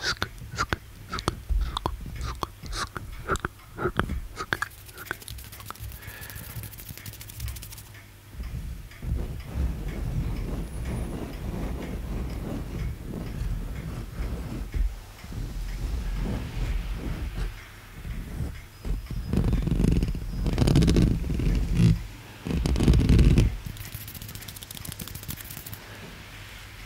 すくすくすくすくすくすくすくすくすくすく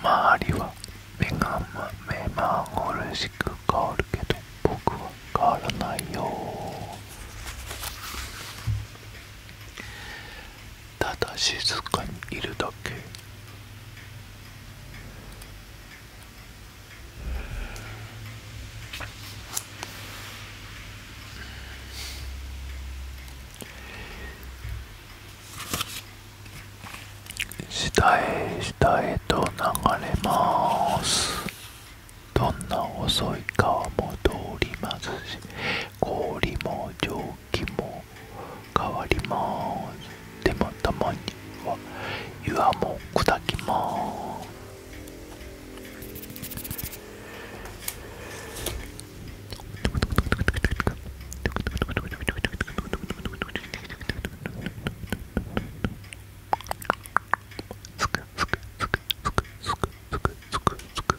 周りは目が目まぐるしく変わるけど僕は変わらないよただ静かにいるだけ下へ下へと流れますどんな遅い川も通りますし氷も蒸気もも変わりますでもたまには岩も砕きますすくすくすくすくすくすくすくすく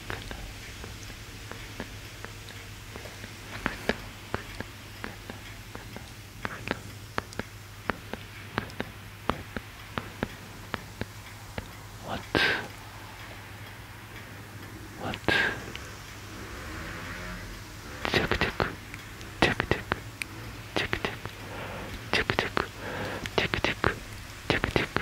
What? What? チェクチェクチェクチェクチェクチクチェクチクチェクチクチェクチクチェク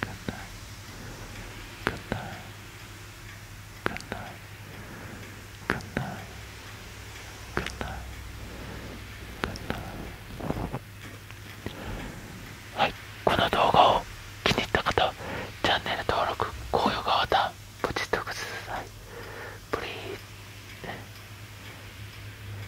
Good night. Good night. Good night. Good night. Good night. Good night. はい、この動画を気に入った方、チャンネル登録、高評価ボタン、ポチッとください。Please.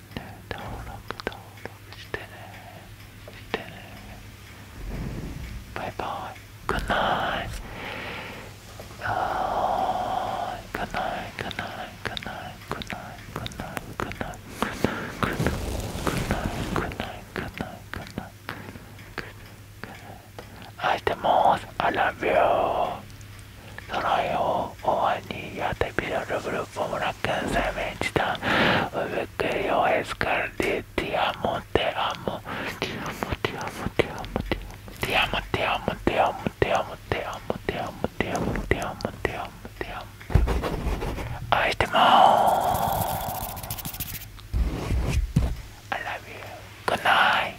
んで登録登録してねしてねバイバイグッナイあーグッナイグッナイグッナイグッナイグッナイグッナイグッナイグッナイグッナイグッナイグッナイ I the most I love you. その絵を応援にアーティフィシャルグループ村県生命地団ウェクリオエスカルディティアモテアモティアモティアモティアモティアモティアモティアモティアモティアモティアモティアモティアモティアモティア愛してまーす I love you. Good night.